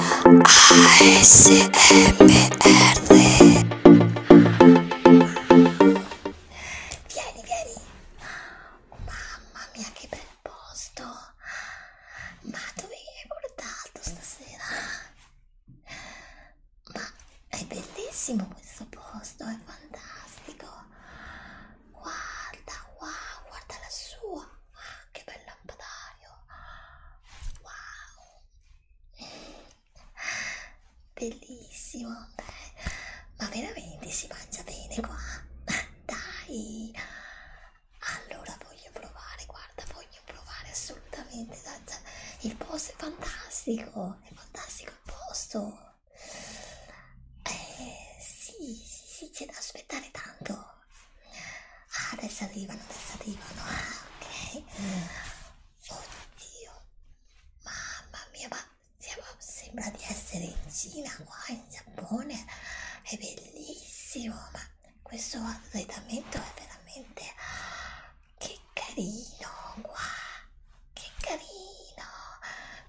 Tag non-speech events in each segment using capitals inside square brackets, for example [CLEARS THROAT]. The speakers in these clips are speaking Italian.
ASMR Vieni, vieni Mamma mia che bel posto Ma dove mi hai portato stasera? Ma è bellissimo questo posto, è fantastico Guarda, wow, guarda la sua Ah, che bel lampadario d'acciaio wow bellissimo ma veramente si mangia bene qua [LAUGHS] dai allora voglio provare guarda voglio provare assolutamente il posto è fantastico è fantastico il posto eh sì sì sì c'è da aspettare tanto Ah, adesso arrivano, adesso arrivano. Ah, ok. Oddio. Mamma mia, ma siamo, sembra di essere in Cina, qua in Giappone. È bellissimo, ma questo arredamento è veramente... Che carino, qua. Che carino.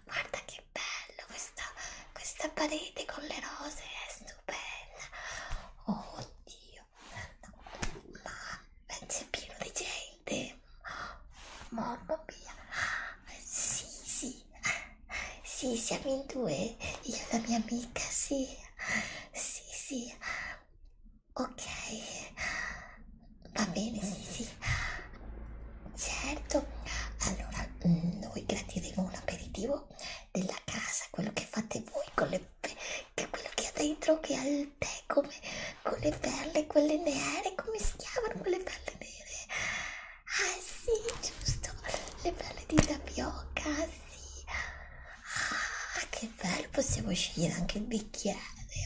Guarda che bello questa, questa parete con le rose, è stupenda. Oddio, ma c'è pieno di gente mamma mia sì sì sì siamo in due io e la mia amica sì sì sì ok va bene sì sì certo allora noi gradiremo un aperitivo della casa, quello che fate voi con le che quello che ha dentro che ha il tè come con le perle, quelle nere, come si chiamano quelle perle nere? Ah sì, giusto, le perle di tapioca, sì. Ah, che bello, possiamo scegliere anche il bicchiere,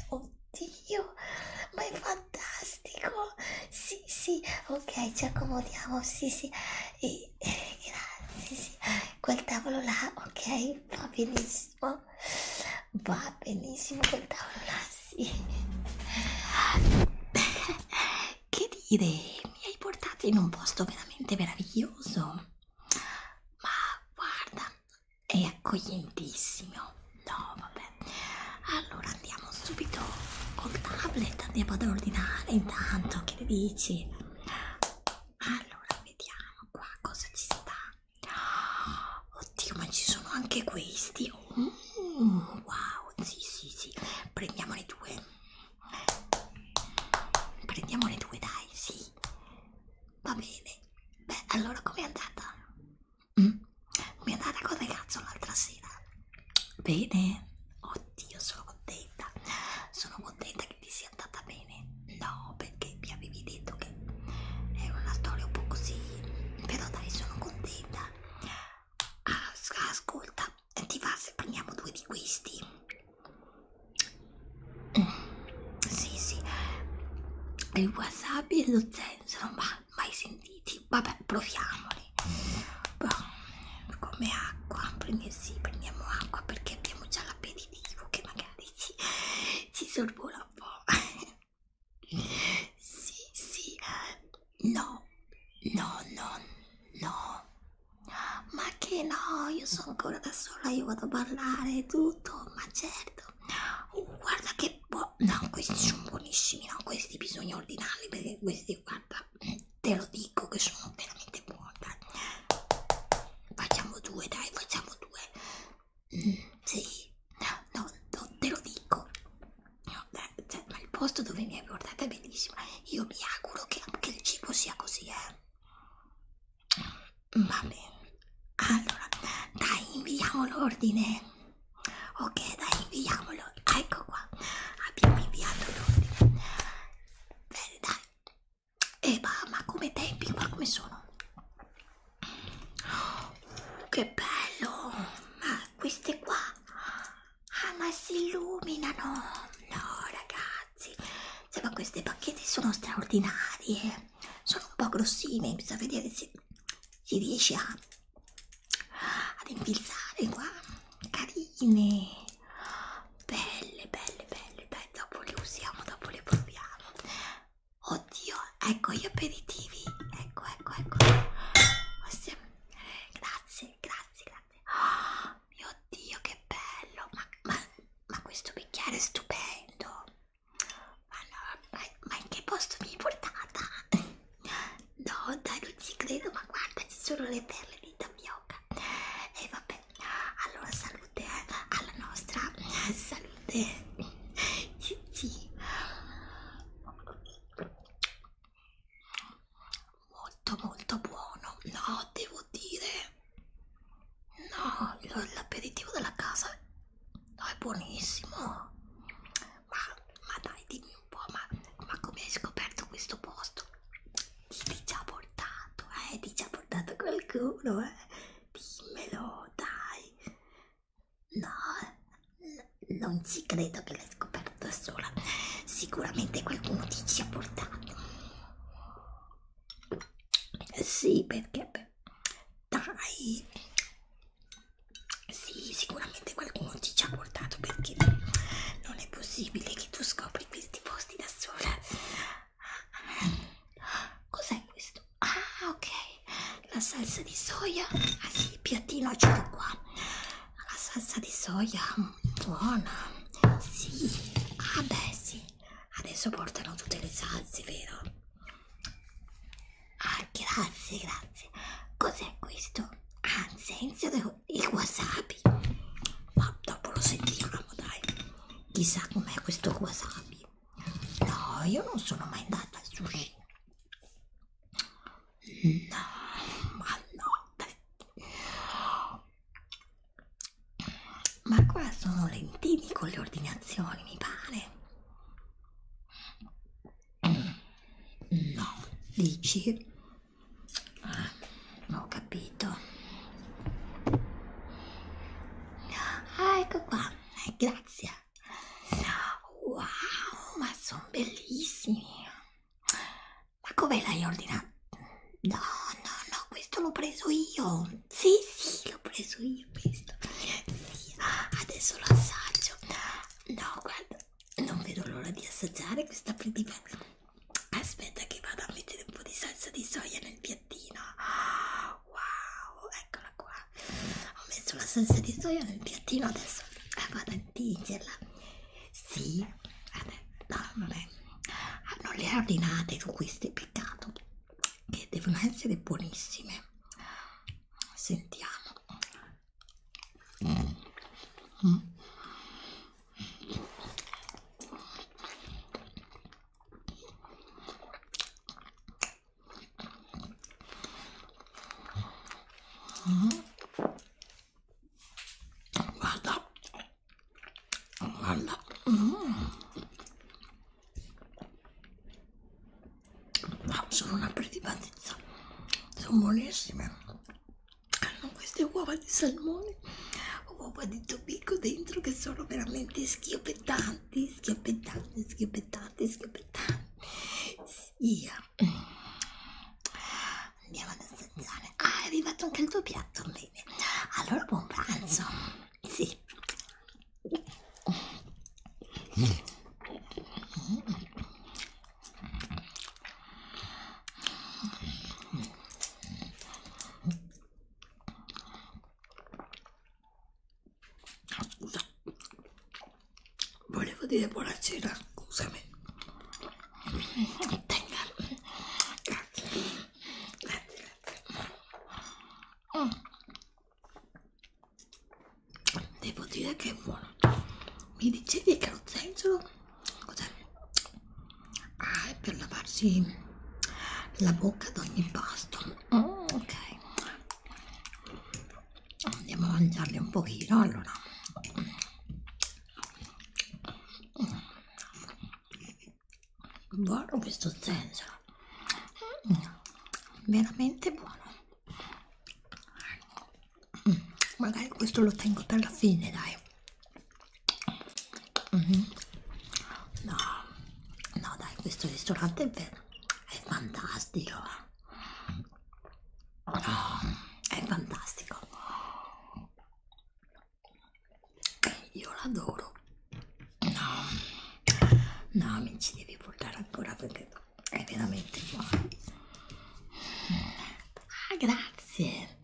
oddio, ma è fantastico. Sì, sì, ok, ci accomodiamo, sì, sì. E sì, eh, grazie, sì. quel tavolo là, ok, va benissimo, va benissimo quel tavolo là, sì. Che dire, mi hai portato in un posto veramente meraviglioso, ma guarda, è accoglientissimo, no vabbè, allora andiamo subito col tablet, andiamo ad ordinare intanto, che ne dici? allora vediamo qua cosa ci sta oddio ma ci sono anche questi mm, wow sì sì sì prendiamo le due prendiamo le due dai sì va bene beh allora com'è andata mm? mi è andata come cazzo l'altra sera bene oddio sono contenta sono contenta che ti sia andata bene no perché mi avevi detto che era una storia un po' così però dai sono contenta As ah, ascolta ti va se prendiamo due di questi mm, sì sì il wasabi e lo zenzero ma mai sentiti vabbè proviamoli come acqua prendi sì prendiamo acqua perché abbiamo già l'appetitivo che magari ci, ci sorbola un po'. [LAUGHS] sì, sì, eh, no, no, no, no. Ma che no, io sono ancora da sola, io vado a parlare e tutto, ma certo. Oh, guarda che buono, no, questi sono buonissimi, no, questi bisogna ordinarli perché questi, guarda, te lo dico che sono veramente buona facciamo due dai facciamo due mm, sì no, no non te lo dico no, beh, cioè, ma il posto dove mi hai portato è bellissimo io mi auguro che anche il cibo sia così eh mm, va bene allora dai inviamo l'ordine ok dai inviamolo ecco qua abbiamo inviato l'ordine bene dai e va ma come tempi qua come sono oh, che bello ma queste qua ah ma si illuminano no ragazzi cioè, ma queste pacchette sono straordinarie sono un po' grossine bisogna vedere se si riesce a ad infilzare qua carine belle belle belle dai dopo le usiamo dopo le proviamo oddio ecco gli aperitivi ecco ecco ecco Queste... grazie grazie grazie oh, mio dio che bello ma, ma, ma questo bicchiere è stupendo ma, no, ma, ma in che posto mi hai portata? no dai non ci credo ma guarda ci sono le perle di tapioca e eh, vabbè vabbè allora salute alla nostra salute sì. molto molto buono no devo dire no l'aperitivo della casa no, è buonissimo ma, ma dai dimmi un po' ma, ma come hai scoperto questo posto ti già portato, eh, ti già portato qualcuno, eh, dimmelo, dai. No, non ci credo che l'hai scoperto da sola, sicuramente qualcuno ti ci ha portato. Sì, perché, dai, sì, sicuramente qualcuno ti ci ha portato perché non è possibile che tu scopri questi posti da sola. Cos'è questo? Ah, ok. La salsa di soia. Ah sì, il piattino ce l'ho qua. La salsa di soia buona. Sì. Ah beh, sì. Adesso portano tutte le salse, vero? Ah, grazie, grazie. Cos'è questo? Ah, senza il wasabi wasabi ma dopo lo sentiremo dai chissà com'è questo wasabi no io non sono mai andata al sushi no ma no dai. ma qua sono lentini con le ordinazioni mi pare no dici Ah, ho capito. Ah, ecco qua, eh, grazie. Wow, ma sono bellissimi. Ma come l'hai ordinato? No, no, no, questo l'ho preso io. Sì, sì, l'ho preso io questo. Sì, adesso lo assaggio. No, guarda, non vedo l'ora di assaggiare questa predimensione aspetta che vado a mettere un po' di salsa di soia nel piattino wow eccola qua ho messo la salsa di soia nel piattino adesso eh, vado a intingerla sì no, non, è. Ah, non le ordinate con queste peccato che devono essere buonissime sentiamo mm. Mm. Mm. Guarda, guarda, mm. no, ah, sono una predibatezza, sono buonissime con queste uova di salmone uova di tobicco dentro che sono veramente schioppettanti schioppettanti schioppettanti schioppettanti sì andiamo ad assaggiare ah è arrivato anche il tuo piatto bene allora buon pranzo sì Scusa, volevo dire buonasera, scusami. Tenga. Grazie. Grazie, grazie. Mm. Devo dire che è buono. Mi dicevi che lo zenzero Cos'è? Ah, è per lavarsi la bocca ad ogni pasto. Oh, ok, andiamo a mangiarli un pochino. Allora, buono questo senso, veramente buono. Magari questo lo tengo per la fine, dai. Mm -hmm. No, no, dai, questo ristorante è, è fantastico. No, è fantastico. Io l'adoro. No, no, mi ci devi portare ancora perché è veramente buono. Ah, grazie,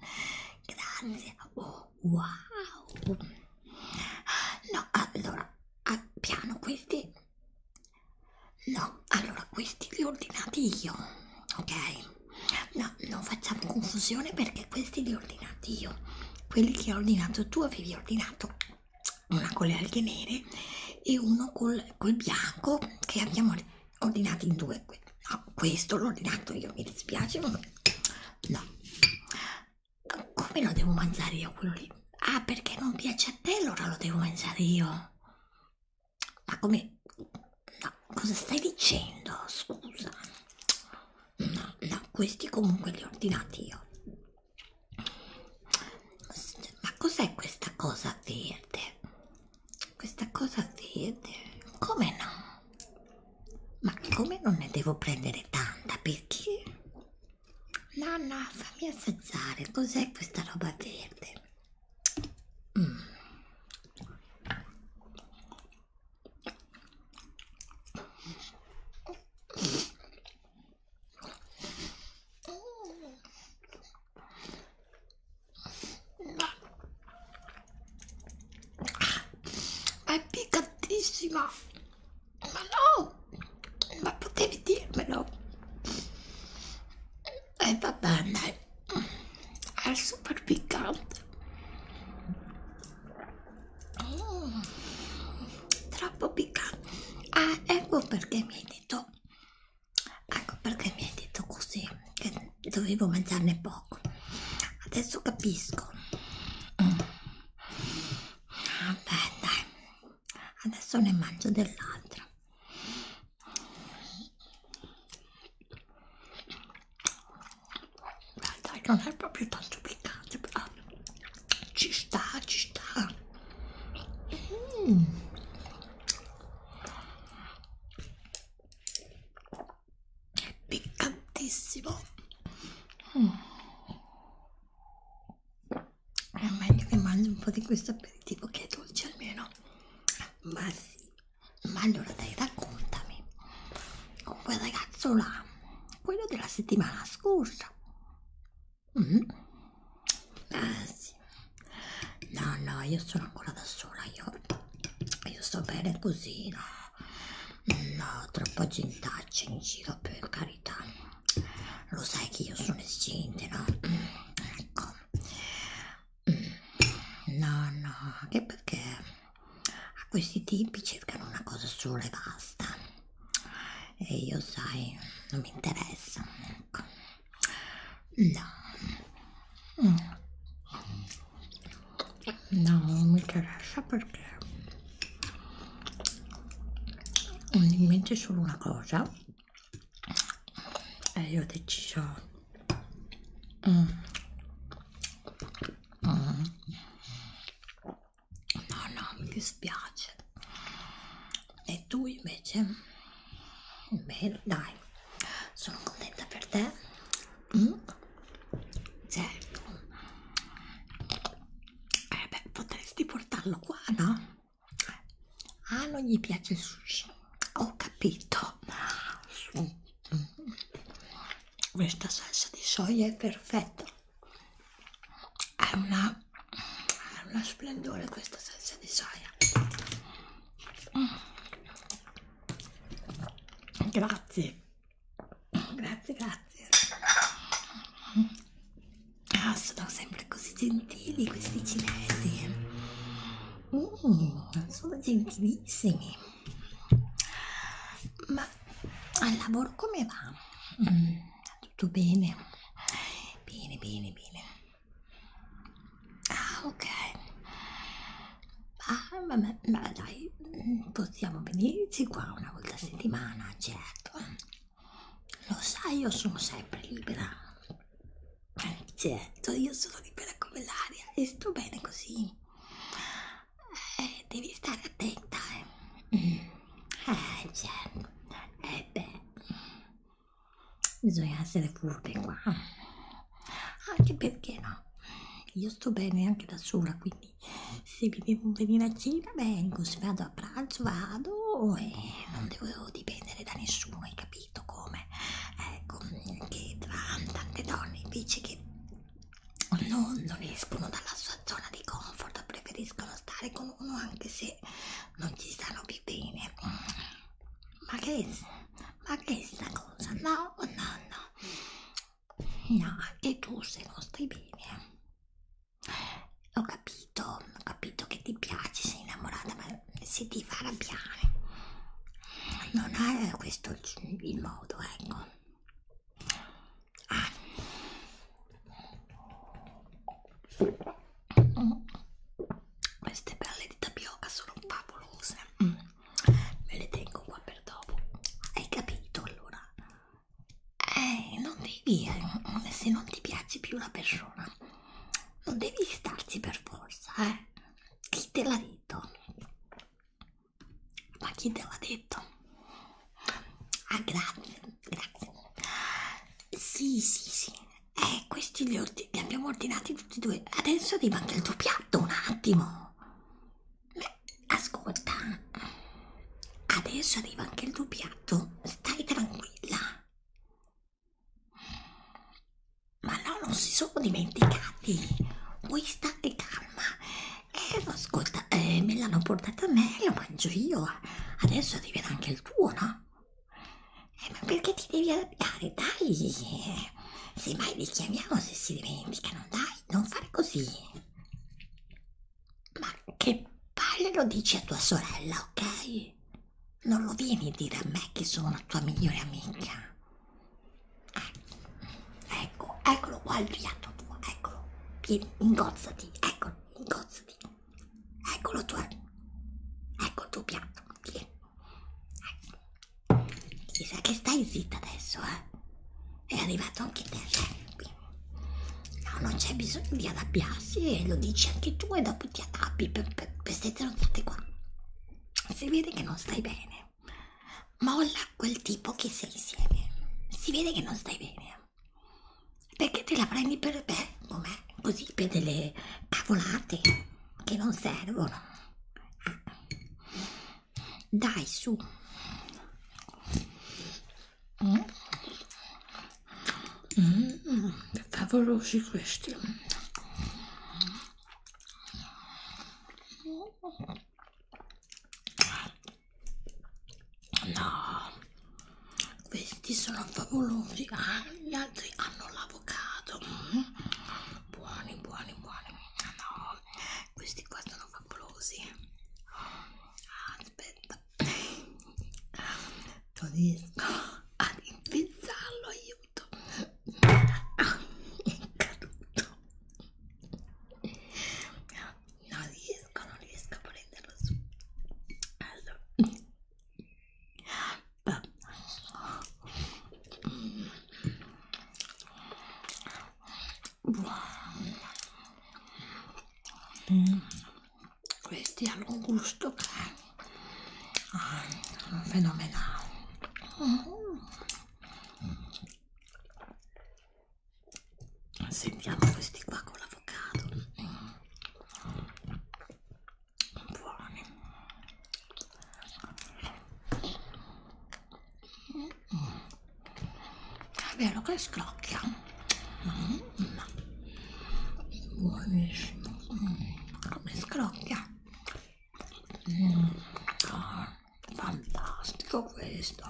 grazie. Oh. Wow! No, allora, piano questi. No, allora questi li ho ordinati io, ok? No, non facciamo confusione perché questi li ho ordinati io. Quelli che ho ordinato tu avevi ordinato una con le alghe nere e uno col, col bianco che abbiamo ordinato in due no, ah, questo l'ho ordinato io, mi dispiace, ma no. Come lo devo mangiare io quello lì? Ah, perché non piace a te, allora lo devo mangiare io. Ma come? No, cosa stai dicendo? Scusa. No, no, questi comunque li ho ordinati io. Ma cos'è questa cosa verde? Questa cosa verde? Come no? Ma come non ne devo prendere tanta? Perché? No, no, fammi assaggiare. Cos'è questa roba verde? Mm è piccantissima ma no ma potevi dirmelo e eh, va bene è super piccante mm, troppo piccante ah ecco perché mi hai detto ecco perché mi hai detto così che dovevo mangiarne poco adesso capisco mm. vabbè dai adesso ne mangio dell'altra dai non è proprio tanto piccante però ci sta ci sta mm piccantissimo mm. è meglio che mangio un po' di questo aperitivo che è dolce almeno ma sì ma allora dai raccontami con quel ragazzo là quello della settimana scorsa mm. ah sì no no io sono ancora da sola io io sto bene così no No, troppa gentaccia in giro, per carità. Lo sai che io sono escinte, no? Ecco. No, no, anche perché a questi tipi cercano una cosa sola e basta. E io, sai, non mi interessa. Ecco. No. No, non mi interessa perché ho in mente solo una cosa e io ho deciso mm. Mm. no no mi dispiace e tu invece beh dai sono contenta per te Mm? Certo. Eh beh, potresti portarlo qua, no? Ah, non gli piace il sushi. Ho capito. Questa salsa di soia è perfetta. È una, è una splendore questa salsa di soia. Grazie. Grazie, grazie. Ah, sono sempre così gentili questi cinesi. Mm, sono gentilissimi. Ma al lavoro come va? Mm, tutto bene? Bene, bene, bene. Ah, ok. Ah, ma, ma, ma dai, mm, possiamo venirci qua una volta a settimana, certo. Lo sai, io sono sempre libera. Eh, certo, io sono libera come l'aria e sto bene così. Eh, devi stare attenta, eh. Mm. Eh, certo. Eh, beh. Bisogna essere furbe qua. Anche perché no, io sto bene anche da sola, quindi anni se mi bevo un pelino a cena vengo se vado a pranzo vado e non devo dipendere da nessuno hai capito come ecco che tra tante donne invece che non, non escono dalla sua zona di comfort preferiscono stare con uno anche se non ci stanno più bene ma che ma che è sta cosa no no no No, anche tu se non stai bene. Eh. Ho capito, ho capito che ti piace, sei innamorata, ma se ti fa arrabbiare. Non è questo il, il modo, ecco. Ah. Queste perle di tapioca sono favolose. Mm me le tengo qua per dopo hai capito allora eh, non devi eh, se non ti piace più la persona non devi starci per forza eh chi te l'ha detto ma chi te l'ha detto ah grazie grazie sì sì sì eh questi li, li abbiamo ordinati tutti e due adesso arriva anche il tuo piatto un attimo Ascolta, adesso arriva anche il tuo piatto, stai tranquilla. Ma no, non si sono dimenticati. Vuoi stare calma? Eh, ascolta, eh, me l'hanno portata a me, lo mangio io. Adesso arriverà anche il tuo, no? Eh, ma perché ti devi arrabbiare? Dai, eh. Semmai li chiamiamo se si dimenticano, dai, non fare così. Ma che palle lo dici a tua sorella, ok? Non lo vieni a dire a me che sono la tua migliore amica. Eh, ecco, eccolo qua il piatto tuo, eccolo. Vieni, ingozzati, eccolo, ingozzati. Eccolo tuo, ecco il tuo piatto, vieni. Chissà che stai zitta adesso, eh? È arrivato anche te, Sherby. No, non c'è bisogno di arrabbiarsi, eh? lo dici anche tu e dopo ti arrabbi per, per, per queste stronzate qua. Si vede che non stai bene. Molla quel tipo che sei insieme. Si vede che non stai bene. Perché te la prendi per beh, com'è? Così per delle cavolate che non servono. Ah. Dai, su. Mm. Mm, favolosi questi. No, questi sono favolosi. Ah, gli altri hanno l'avocado. Mm. Buoni, buoni, buoni. No, questi qua sono favolosi ah, aspetta non riesco ad impizzarlo aiuto ah, è caduto non riesco non riesco a prenderlo su allora Mm. Questi hanno un gusto ah, fenomenale. Mm. Sentiamo questi qua con l'avocado. Mm. Buoni. È vero che scrocchia. Buonissimo. Come scrocchia. Mm. Fantastico questo.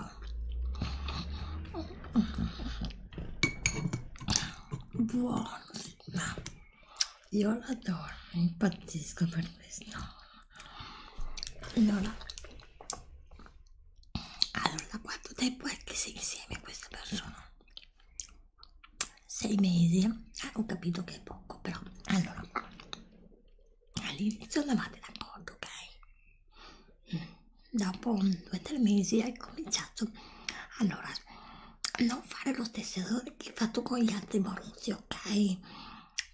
Buono. Io l'adoro, impazzisco per questo allora allora da quanto tempo è che sei insieme a questa persona? sei mesi? Eh, ho capito che è poco però allora all'inizio andavate d'accordo ok? Mm. dopo due o tre mesi hai cominciato allora non fare lo stesso errore che hai fatto con gli altri morosi ok?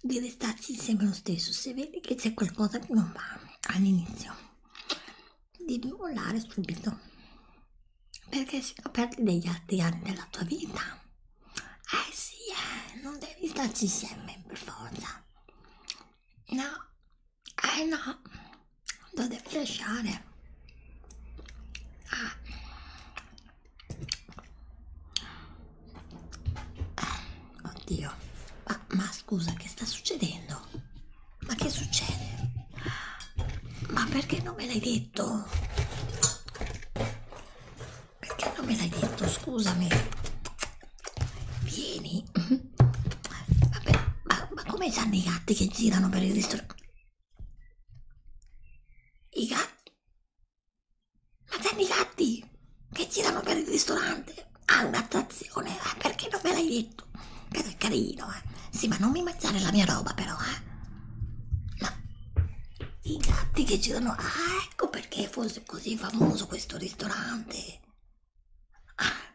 di restarci insieme lo stesso se vedi che c'è qualcosa che non va all'inizio devi mollare subito perché si perdi degli altri anni della tua vita eh sì eh, non devi starci insieme per forza no eh no lo devi lasciare ah. Oddio, ma, ma scusa, che sta succedendo? Ma che succede? Ma perché non me l'hai detto? Perché non me l'hai detto? Scusami. Vieni. Mhm. Vabbè, ma, ma come sanno i gatti che girano per il ristorante? I gatti? Ma tanti gatti che girano per il ristorante. Ha un'attrazione, eh? perché non me l'hai detto? Però è carino, eh. Sì, ma non mi mangiare la mia roba, però, eh. Ma i gatti che girano. Ah, ecco perché fosse così famoso questo ristorante. Ah,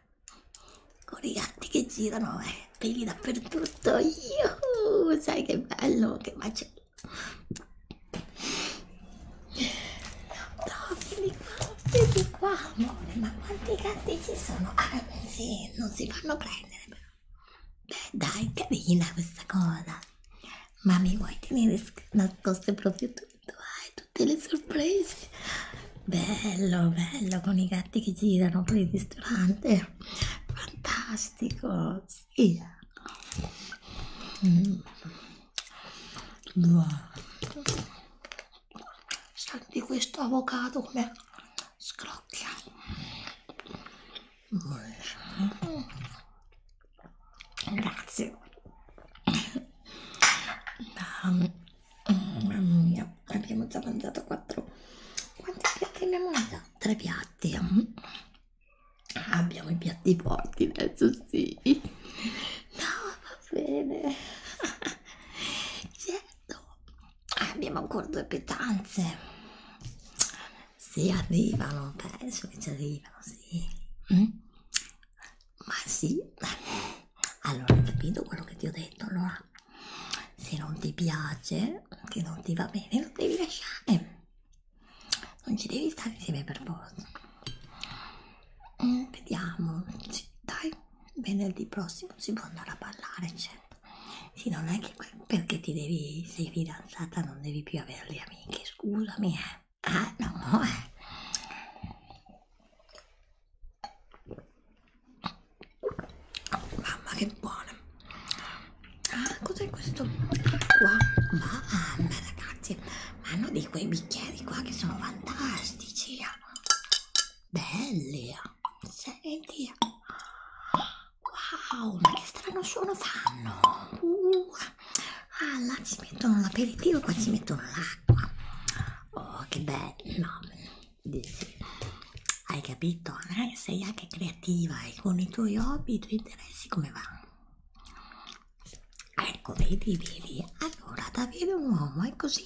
con i gatti che girano, eh, peli dappertutto. Io, sai che bello, che bacio. No, vieni qua, vieni qua, amore, ma quanti gatti ci sono? Ah, beh, sì, non si fanno prendere, però. Beh, dai, carina questa cosa. Ma mi vuoi tenere nascoste proprio tutto, eh? tutte le sorprese? Bello, bello, con i gatti che girano per il ristorante. Fantastico, sì. Mm. Senti questo avocado come scrocchia. Grazie. Mamma mia, abbiamo già mangiato quattro. Quanti piatti abbiamo mangiato? Tre piatti. Ah, abbiamo i piatti forti adesso sì no va bene certo abbiamo ancora due pietanze si arrivano penso che ci arrivano sì mm? ma sì allora ho capito quello che ti ho detto allora se non ti piace che non ti va bene lo devi lasciare non ci devi stare insieme per forza mm, vediamo sì, dai venerdì prossimo si può andare a ballare certo sì non è che perché ti devi sei fidanzata non devi più avere le amiche scusami eh ah no eh Mamma che buona! Ah, cos'è questo qua? Mamma ah, ragazzi! ma hanno di quei bicchieri qua che sono fantastici belli senti wow ma che strano suono fanno uh, ah là ci mettono l'aperitivo qua ci mettono l'acqua oh che bello hai capito sei anche creativa e con i tuoi hobby i tuoi interessi come va ecco vedi vedi allora ad avere un uomo è così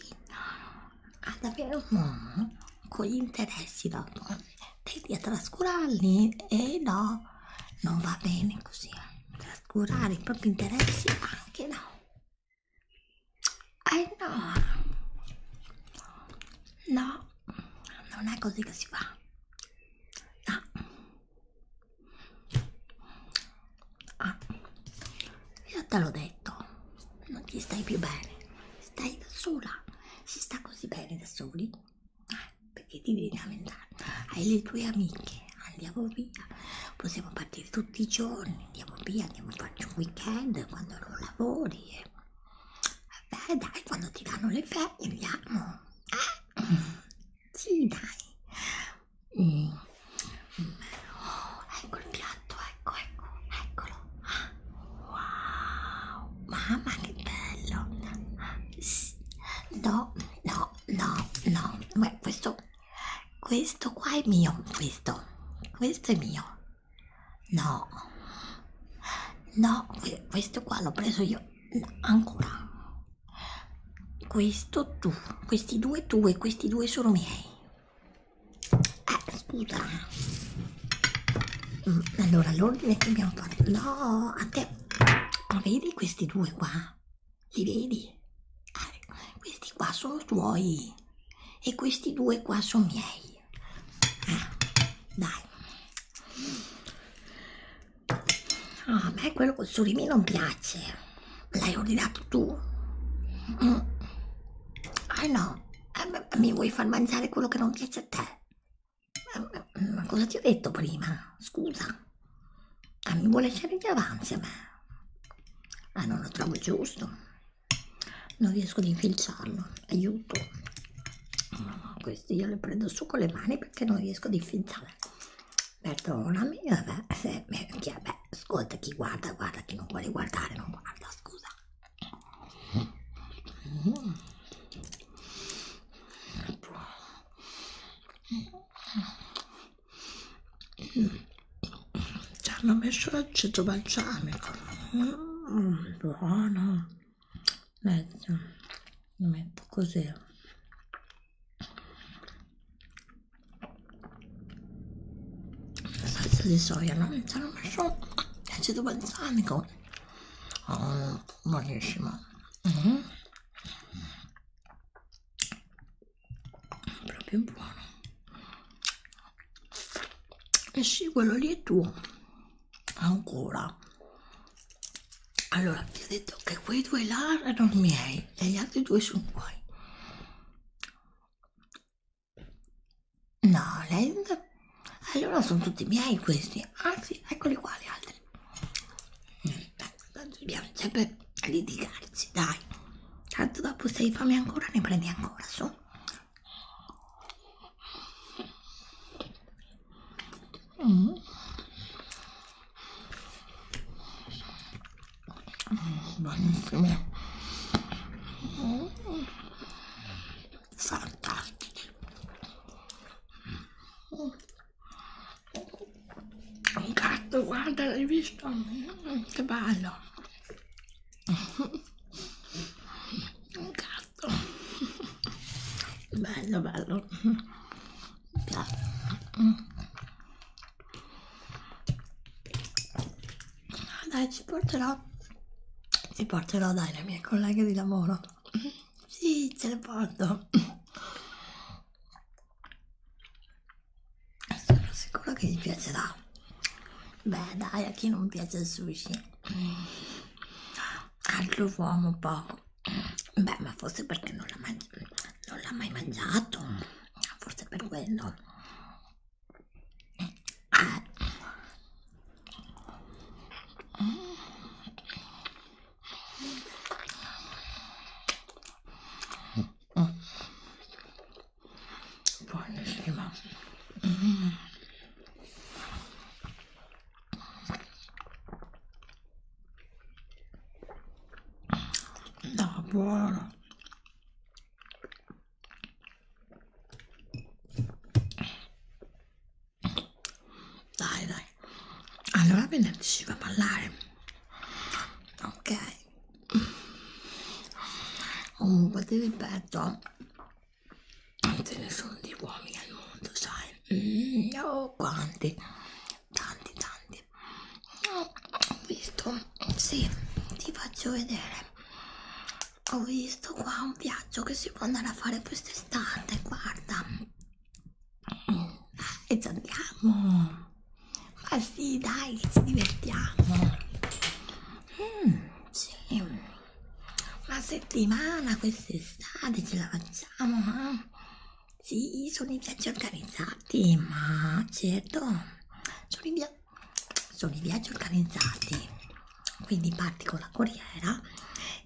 ad avere un uomo con gli interessi da donna tendi a trascurarli e eh no non va bene così trascurare i propri interessi anche no eh no no non è così che si fa no Ah, io te l'ho detto, non ti stai più bene, stai da sola, si sta così bene da soli, eh, perché ti devi lamentare, hai le tue amiche, andiamo via, possiamo partire tutti i giorni, andiamo via, andiamo a farci un weekend quando non lavori, e... vabbè dai, quando ti danno le ferie andiamo, eh? sì dai, Mm. Oh, ecco il piatto, ecco, ecco, eccolo. Ah, wow, mamma che bello. Sì. No, no, no, no. Beh, questo, questo qua è mio, questo, questo è mio. No, no, questo qua l'ho preso io. No, ancora questo tu, questi due tu e questi due sono miei. Eh, scusa. Mm, allora, l'ordine che dobbiamo fare. No, a te. Ma vedi questi due qua? Li vedi? Eh, questi qua sono tuoi. E questi due qua sono miei. Eh, dai. Ah, a me quello col surimi non piace. L'hai ordinato tu? Mm. Ah no, eh, mi vuoi far mangiare quello che non piace a te? Eh, ma cosa ti ho detto prima? Scusa. Eh, mi vuole lasciare gli avanzi a me. Ah, non lo trovo giusto. Non riesco ad infilciarlo. Aiuto. No, no, questi io li prendo su con le mani perché non riesco ad infilzare perdonami, vabbè, se, eh, chi, vabbè, ascolta chi guarda, guarda, chi non vuole guardare, non guarda, scusa. Ci hanno messo l'aceto balsamico, mm, buono, metto, metto così salsa di soia no? ci hanno messo l'acido balsamico oh, buonissimo mm -hmm. proprio buono e eh sì quello lì è tuo ancora allora ti ho detto che quei due là erano miei e gli altri due sono tuoi no lei allora sono tutti miei questi anzi eccoli qua gli altri mm, eh, tanto dobbiamo sempre litigarci dai tanto dopo se hai fame ancora ne prendi ancora su Mm buonissime sarcastici un gatto guarda l'hai visto che bello un gatto bello bello Mm. Dai, ci porterò. Ci porterò, dai, le mie colleghe di lavoro. Sì, ce le porto. Sono sicura che gli piacerà. Beh, dai, a chi non piace il sushi? Altro uomo poco. Beh, ma forse perché non l'ha mai, mai mangiato, forse per quello. Ah. Eh. Buonissima. Mm. No, buono. Dai, dai. Allora venerdì ci va a ballare. Ok. Comunque ti ripeto, non ce ne sono di uomini al mondo, sai? Mm, oh, quanti tanti tanti ho visto sì ti faccio vedere ho visto qua un viaggio che si può andare a fare quest'estate guarda e ci andiamo ma sì dai ci divertiamo mm, sì. una settimana quest'estate ce la facciamo eh? Sì, sono i viaggi organizzati, ma certo, sono i, via sono i viaggi organizzati, quindi parti con la corriera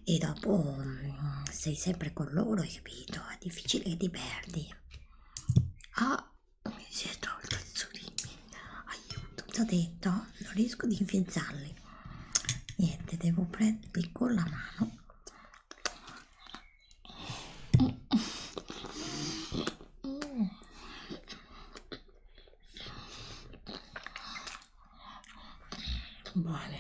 e dopo um, sei sempre con loro, hai capito? È difficile che ti perdi. Ah, mi si è tolto il solino, aiuto, ti ho detto, non riesco ad infiazzarli. Niente, devo prenderli con la mano Vale.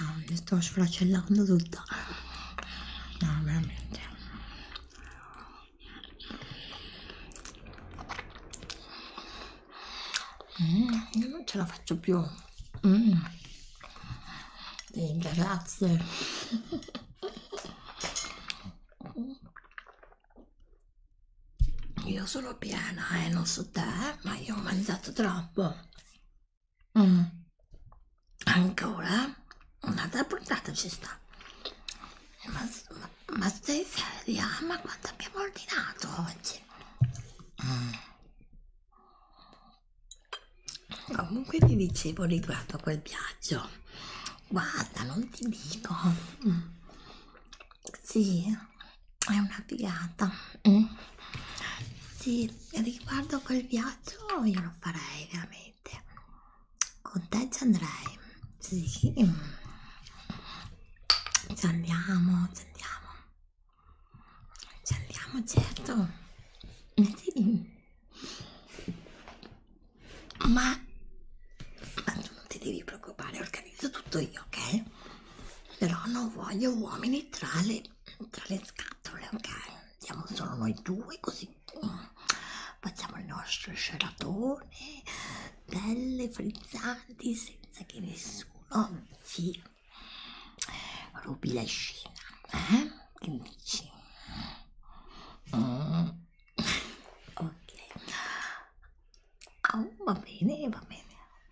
Ah, mi sto sfracellando tutta. No, veramente. Mm, non ce la faccio più. Mm. Eh, grazie. [LAUGHS] Io sono piena, eh, non so te, ma io ho mangiato troppo. Mm. Ancora? Un'altra puntata ci sta. Ma, ma ma stai seria? Ma quanto abbiamo ordinato oggi? Mm. Comunque ti dicevo riguardo a quel viaggio. Guarda, non ti dico. Mm. Sì, è una figata. Mm. Sì, riguardo a quel viaggio io lo farei veramente. Con te ci andrei. Sì, ci andiamo, ci andiamo. Ci andiamo, certo. Sì. Ma, ma tu non ti devi preoccupare, organizzo tutto io, ok? Però non voglio uomini tra le, tra le scatole, ok? Siamo solo noi due, così mm, facciamo il nostro scelatone cappelle frizzanti senza che nessuno si rubi la scena. Eh? Che dici? Mm. Ok. Oh, va bene, va bene.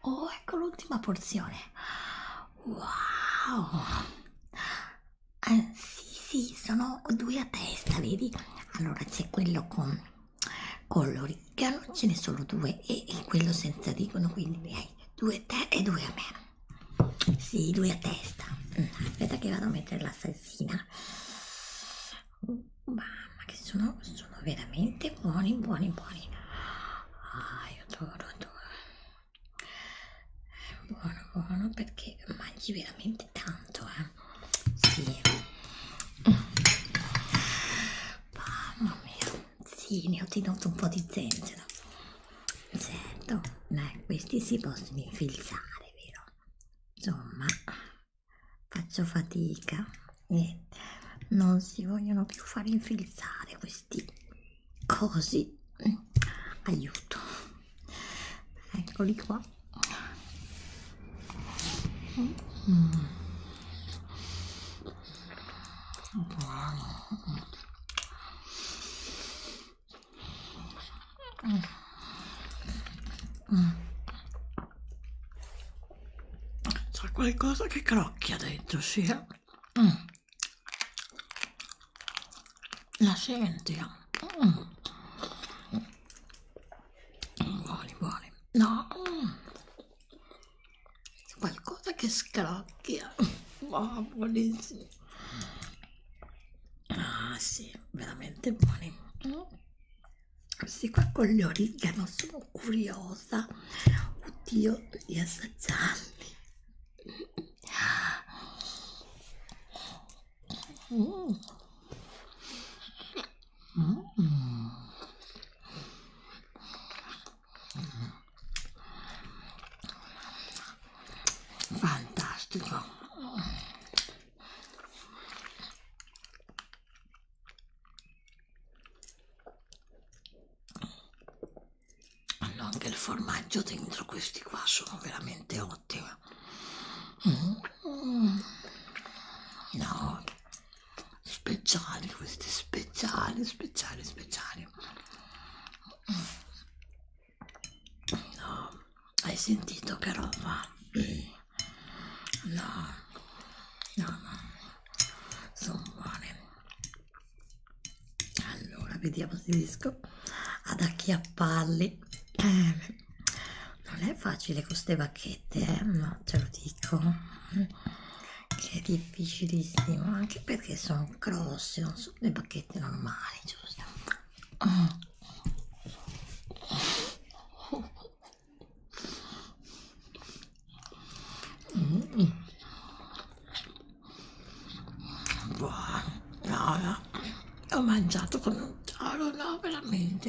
Oh, ecco l'ultima porzione. Wow. Eh, sì, sì, sono due a testa, vedi? Allora c'è quello con Colori che allora ce ne sono due e, e quello senza dicono quindi ne hai due a te e due a me. Sì, due a testa. Mm, aspetta che vado a mettere la salsina. Mamma che sono, sono veramente buoni, buoni, buoni. Ah, io adoro, adoro. È buono, buono perché mangi veramente tanto, eh. Sì. Mamma mia. Sì, ne ho tenuto un po' di zenzero. Certo, ma questi si possono infilzare, vero? Insomma, faccio fatica e non si vogliono più far infilzare questi cosi. Aiuto. Eccoli qua. C'è qualcosa che crocchia dentro, sì. Eh. Mm. La senti? Mm buoni buoni no qualcosa che scrocchia oh, buonissimo ah sì veramente buoni questi qua con gli origano sono curiosa oddio di assaggiarli mm. Fantastico. Hanno anche il formaggio dentro questi qua, sono veramente ottimi. Mm. No, speciali questi speciali speciali speciali no hai sentito che roba no no no sono buone allora vediamo se riesco ad acchiapparli eh, [CLEARS THROAT] non è facile con queste bacchette eh? no te lo dico che è difficilissimo anche perché sono grosse non sono le bacchette normali giusto mm. buono no, no. ho mangiato con un toro no veramente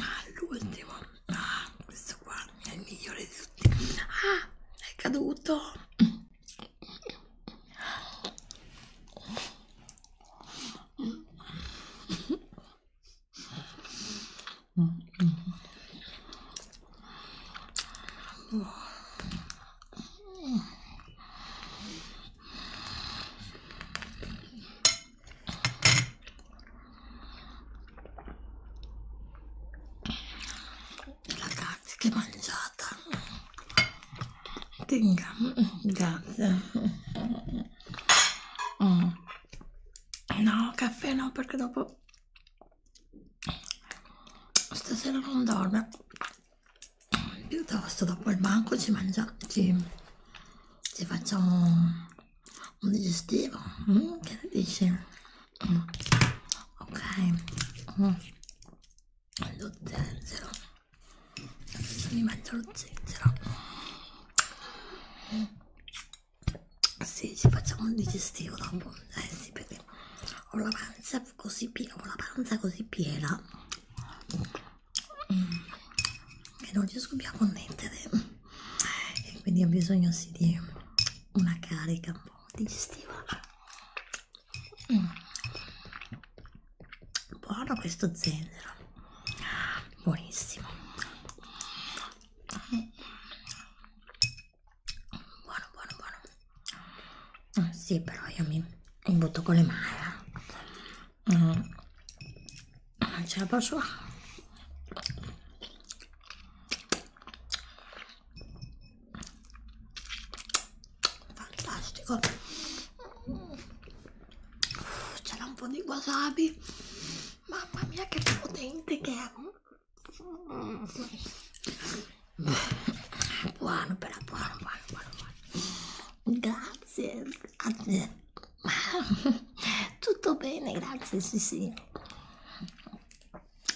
ah l'ultimo ah questo qua è il migliore di tutti ah è caduto Ragazzi, che mangiata! Tenga, grazie. Mm. No, caffè no, perché dopo stasera non dorme. Piuttosto dopo il banco ci mangiamo, ci, ci facciamo un digestivo mm? che dici mm. ok mm. lo zenzero adesso mi mangio lo zenzero mm. sì ci facciamo un digestivo dopo eh sì perché ho la pancia così piena ho la panza così piena mm. che non riesco più a connettere e quindi ho bisogno sì di una carica un po' digestiva mm. buono questo zenzero buonissimo buono buono buono oh, sì però io mi butto con le mani eh. mm non ah, ce la posso ah. fantastico c'era un po' di wasabi mamma mia che potente che è buono però buono buono buono, buono. grazie a te [LAUGHS] tutto bene grazie sì sì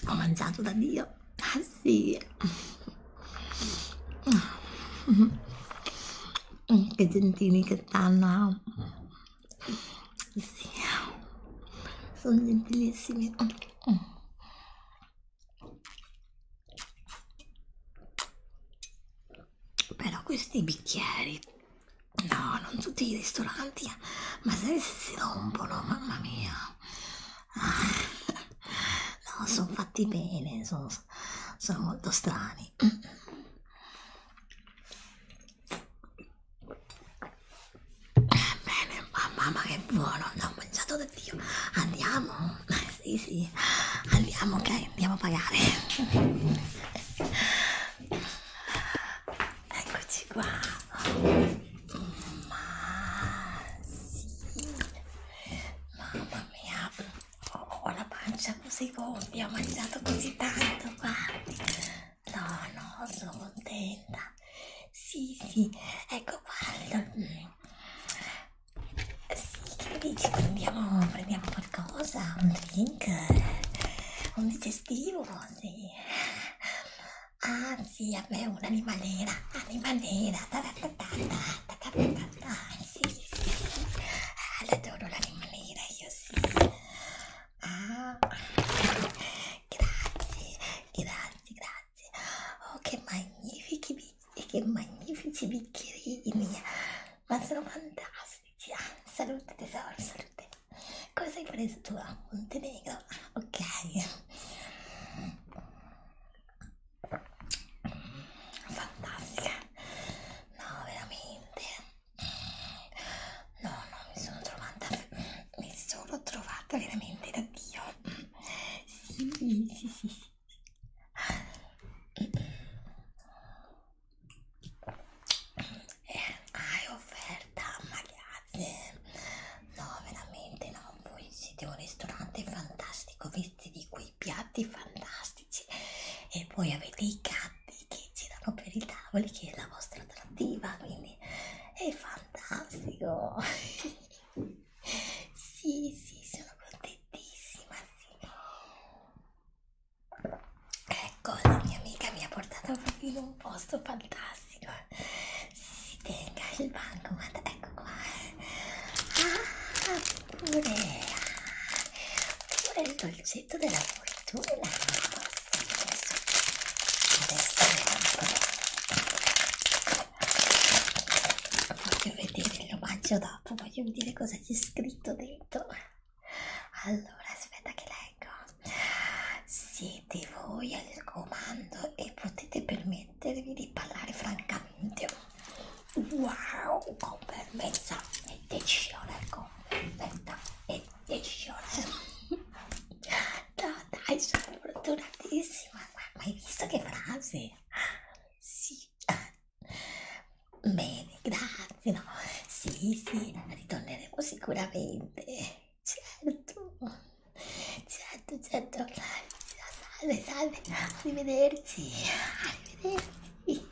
ho mangiato da dio ah sì che gentili che stanno sì sono gentilissimi però questi bicchieri No, non tutti i ristoranti, eh. ma se si rompono, mamma mia. Ah, no, sono fatti bene, sono, sono molto strani. Bene, mamma che buono, ne ho mangiato da Dio. Andiamo? Eh, sì, sì, andiamo, ok, andiamo a pagare. Eccoci qua. Ma sì. Mamma mia, oh, ho la pancia così gonfia, ho mangiato così tanto, guardi. No, no, sono contenta. Sì, sì, ecco guarda. Sì, che dici? Prendiamo, prendiamo qualcosa, un drink, un digestivo, sì. Ah sì, a me è un'animalera, animalera, taratatata, taratatata, sì, sì, adoro l'animalera, io sì. Ah, grazie, grazie, grazie. Oh, che magnifici bicchierini, che magnifici bicchierini, ma sono fantastici. Ah, salute tesoro, salute. Cosa hai preso tu a ah, Montenegro? Ok. Fantastica. No, veramente. No, no, mi sono trovata mi sono trovata veramente da Dio. Sì, sì, sì. sì. Eh, hai offerta ma grazie no veramente no voi siete un ristorante fantastico visti di quei piatti fantastici e poi avete i gatti che girano per i tavoli che è la vostra attrattiva quindi è fantastico [LAUGHS] sì sì sono contentissima sì Ecco, la mia amica mi ha portato proprio in un posto fantastico. Si tenga il banco, guarda, ecco qua. Eh. Ah, pure, ah, pure il dolcetto della fortuna. Adesso, adesso voglio vedere, lo mangio dopo, voglio vedere cosa c'è scritto dentro. Allora, aspetta che leggo. Siete voi al comando e potete permettervi di parlare francamente. Wow, con fermezza e decisione, con fermezza e decisione. No, dai, sono fortunatissima. Ma hai visto che frase? Sì. Bene, grazie. No. Sì, sì, ritorneremo sicuramente certo certo certo salve salve arrivederci arrivederci